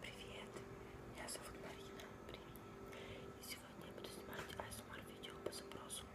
Привет, меня зовут Марина. Привет. И сегодня я буду снимать ASMR эм видео по запросу.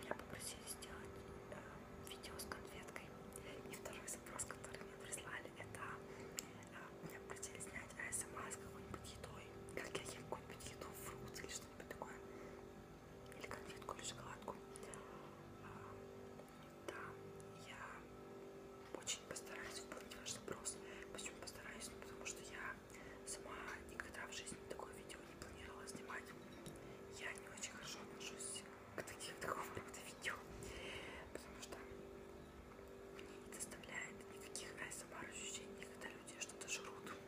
Меня попросили сделать э, видео с конфеткой. И второй запрос, который мне прислали, это э, меня попросили снять ASMR эм с какой-нибудь едой. Как я ем какую-нибудь еду, фрукт или что-нибудь такое. Или конфетку, или шоколадку. Э, да, я очень постараюсь выполнить ваш запрос. Почему постараюсь? Ну, потому что я сама никогда в жизни такое видео не планировала снимать. Я не очень хорошо отношусь к таким, такого рода видео, потому что мне не доставляет никаких ASMR эм ощущений, когда люди что-то жрут.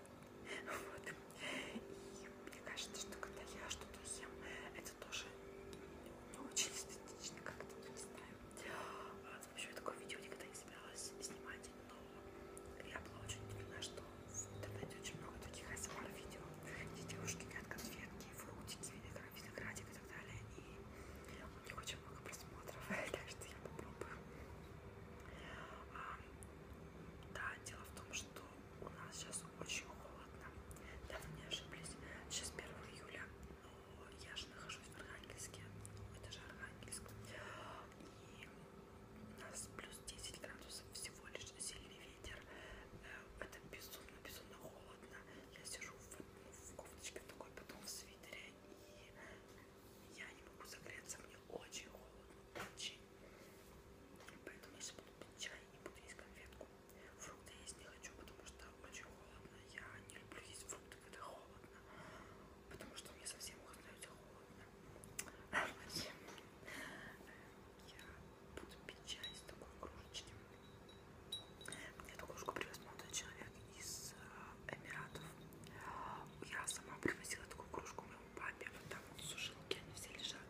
Вот. И мне кажется, что когда я что-то ем, это тоже не очень эстетично, как-то, не знаю. Вообще, я такое видео никогда не собиралась снимать, но я была очень удивлена, что в интернете очень много таких ASMR-видео, где девушки едят конфетки, фруктики, виноградик и так далее, и у них очень много просмотров, так что я попробую. А, да, дело в том, что у нас сейчас очень холодно, да, вы не ошиблись, сейчас 1 июля, но я же нахожусь в Архангельске, это же Архангельск, и у нас плюс 10 градусов, всего лишь сильный ветер, э, это безумно-безумно холодно, я сижу в, ну, в кофточке такой, потом в свитере, и я не могу согреться, мне очень холодно, очень, поэтому я сейчас буду пить чай и буду есть конфетку, Фрукты есть не хочу, потому что очень холодно. Я не люблю есть фрукты, когда холодно. Потому что мне совсем уже становится холодно. Я буду пить чай с такой кружечки. Мне эту кружку привез молодой человек из э, Эмиратов. Я сама привозила такую кружку моему папе. Вот там вот сушилки, они все лежат.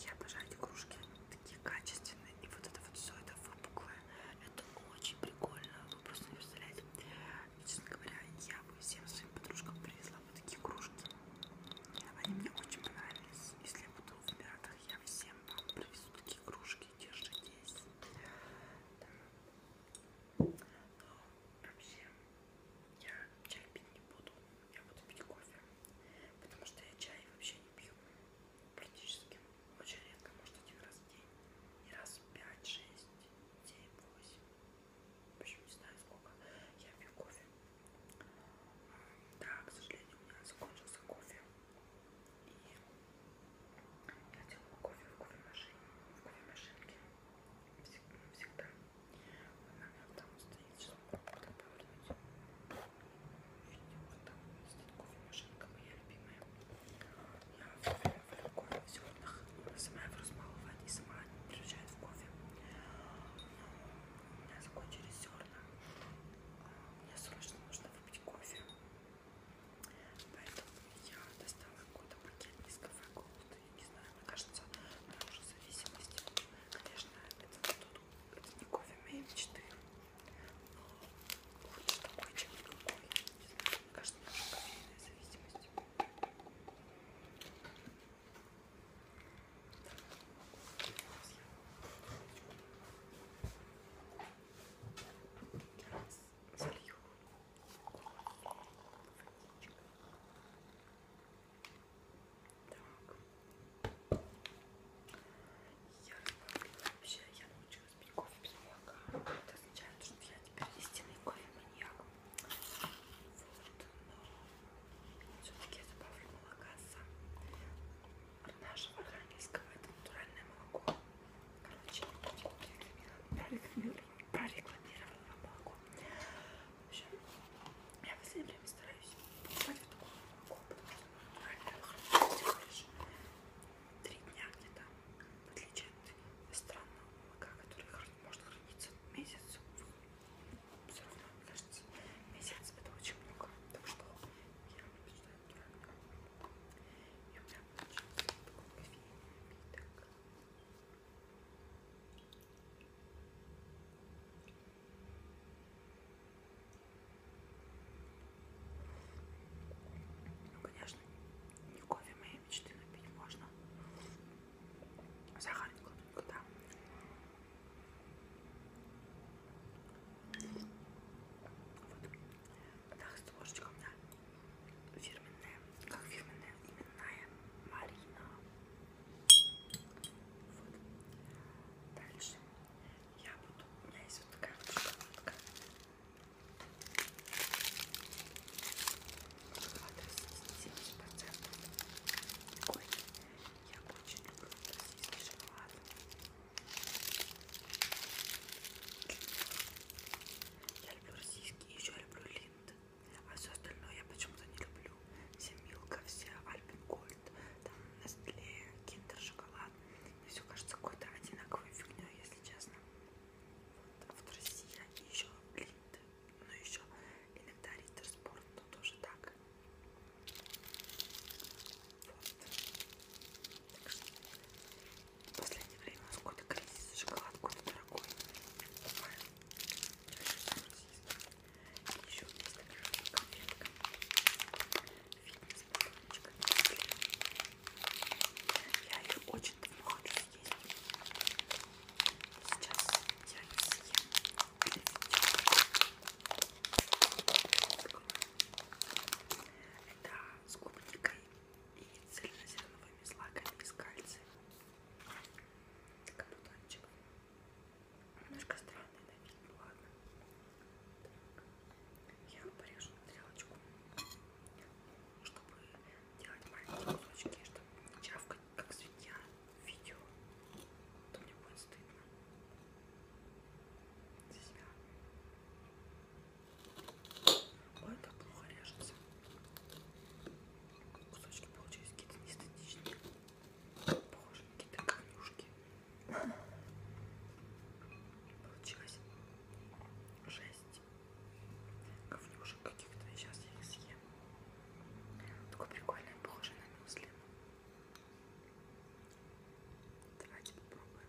Я обожаю эти кружки такие качественные. И вот это вот все это выпуклое. Это очень прикольно. Вы просто не представляете. Честно говоря, я бы всем своим подружкам привезла вот такие кружки. Они мне очень понравились. Если я буду в Эмиратах, я всем вам привезу такие кружки. Держитесь. Да. Но вообще я чай пить не буду. Я буду пить кофе. Потому что я чай вообще не пью практически очень редко, может один раз в день, и раз в 5, 6, 7, 8, в общем не знаю сколько, я пью кофе. Да, к сожалению, у меня закончился кофе, и я делала кофе в кофемашине, в кофемашинке всегда. Она у меня там стоит, сейчас могу повернуть. Вот так, с такой машинка моя любимая. Я варю кофе в зернах, сама его размалывает и сама превращает в кофе. У меня закончились зерна. Мне срочно нужно выпить кофе. Поэтому я достала какой-то пакет из кафе Голд. Я не знаю, мне кажется, на уже зависимости. Конечно, это, тут, это не кофе, а мейн 4. Ой, какой чай, какой. Мне кажется, немножко кофейная зависимость. Залью так я вообще я ночью Пить кофе без молока. Это означает, что я теперь истинный кофе-маньяк. Вот, но все-таки я добавлю молока с нашего архангельского. Это натуральное молоко. Короче, прорекламировала, прорекламировала молоко. В общем, я в последнее время стараюсь покупать вот такое молоко, потому что натуральное хорошо три дня где-то, в отличие от странного молока, которое может храниться месяц. Все равно, мне кажется, месяц это очень много. Так что я предпочитаю натуральное молоко. И у меня получился такой кофейный напиток. Ну, конечно, не кофе моей мечты напить можно. Сахар не кладу никуда. Вот. Так, с ложечкой у меня фирменная, как фирменная, именная Марина. Вот. Дальше я буду, у меня есть вот такая вот шоколадка. процентов такой. Я очень люблю российский шоколад. Я люблю российский, еще люблю линд. А все остальное я почему-то не люблю. Все Милка, все Альпин Гольд, там Nestle, Киндер Шоколад ладно. Мне все кажется какой-то одинаковой фигней, если честно. Вот. А вот Россия и еще Линд, но ну, еще иногда Риттер Спорт, но тоже так. Вот. Так что в последнее время у нас какой-то кризис, шоколад какой-то дорогой. Еще есть конфетка фитнес-батончик. Я ее очень давно хочу съесть. Сейчас я ее съем. Это с клубникой и цельнозерновыми злаками из кальция. Такой батончик. Немножко странный на вид, ну ладно. Я порежу на тарелочку, чтобы делать маленькие кусочки, чтобы не чавкать, как свинья, в видео. А то мне будет стыдно за себя. Ой, как плохо режется. Кусочки получились какие-то неэстетичные. Похожи на какие-то камнюшки. Получилось 6 коврюшек каких-то. Сейчас я их съем. Такое прикольное, похоже на мюсли. Давайте попробуем.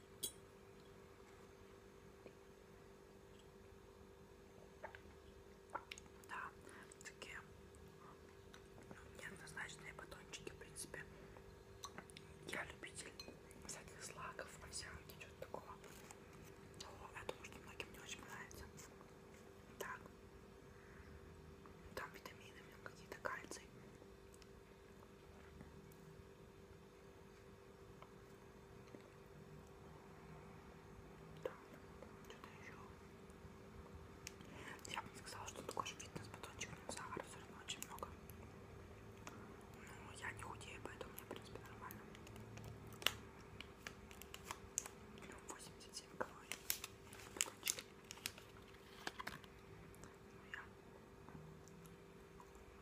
Да, такие ну, неоднозначные батончики, в принципе. Я любитель всяких злаков, овсянки, чего-то такого. Но я думаю, что многим не очень нравится. Так. Там витамины, какие-то кальций. Там что-то еще. Я бы не сказала, что такой же фитнес-батончик, но сахара все равно очень много. Но я не худею, поэтому мне, в принципе, нормально. 87 ну, калорий. Батончик. Ну, я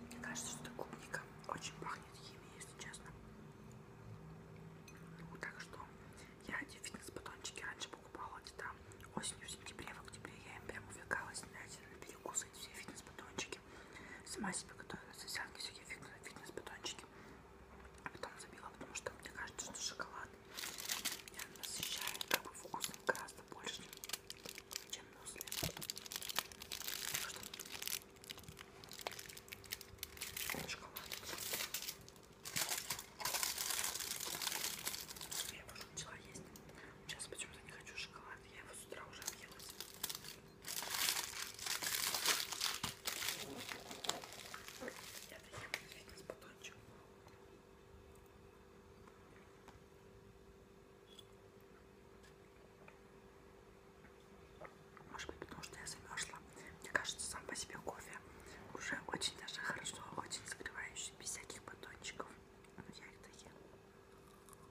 Мне кажется, что клубника очень пахнет химией, если честно. Ну, так что я эти фитнес-батончики раньше покупала где-то осенью, в сентябре, в октябре. Я им прям увлекалась, знаете, перекусывать все фитнес-батончики батончики. Сама себе готовила сосянки, всякие фитнес-батончики. А потом забила, потому что мне кажется, что шоколад меня насыщает как бы вкусом гораздо больше, чем мюсли. Шоколад. Я уже начала есть. Сейчас почему-то не хочу шоколад. Я его с утра уже объелась. Может быть, потому что я замерзла. Мне кажется, сам по себе кофе уже очень даже хорошо, очень согревающий, без всяких батончиков. Но я их доела.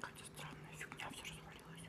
Какая-то странная фигня все развалилась.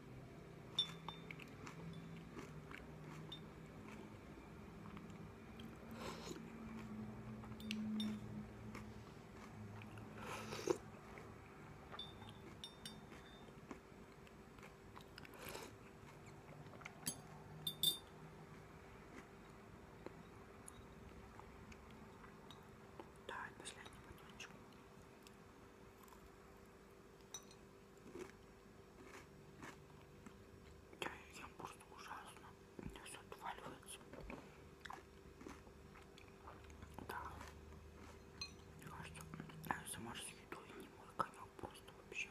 Да, последний батончик. Я ем просто ужасно. Мне все отваливается. Да. Мне кажется, АСМР с едой не мой конек просто вообще.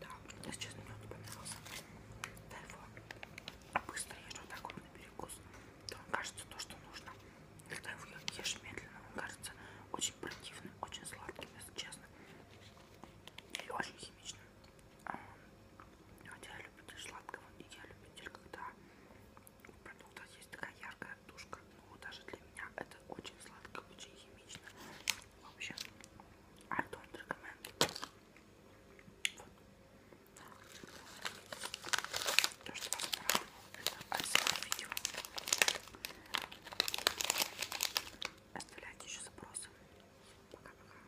Да, мне сейчас мед понравился. Да его быстро ешь вот так вот на перекус. То он кажется то, что нужно. Когда его ешь медленно, он кажется очень противным, очень сладким, если честно. И очень химичным. Вот я любитель сладкого, и я любитель, когда у продуктов есть такая яркая тушка. Ну, даже для меня это очень сладко, очень химично. В общем, I don't recommend. Вот. То, что вам понравилось, это ASMR видео. Оставляйте еще запросы. Пока-пока.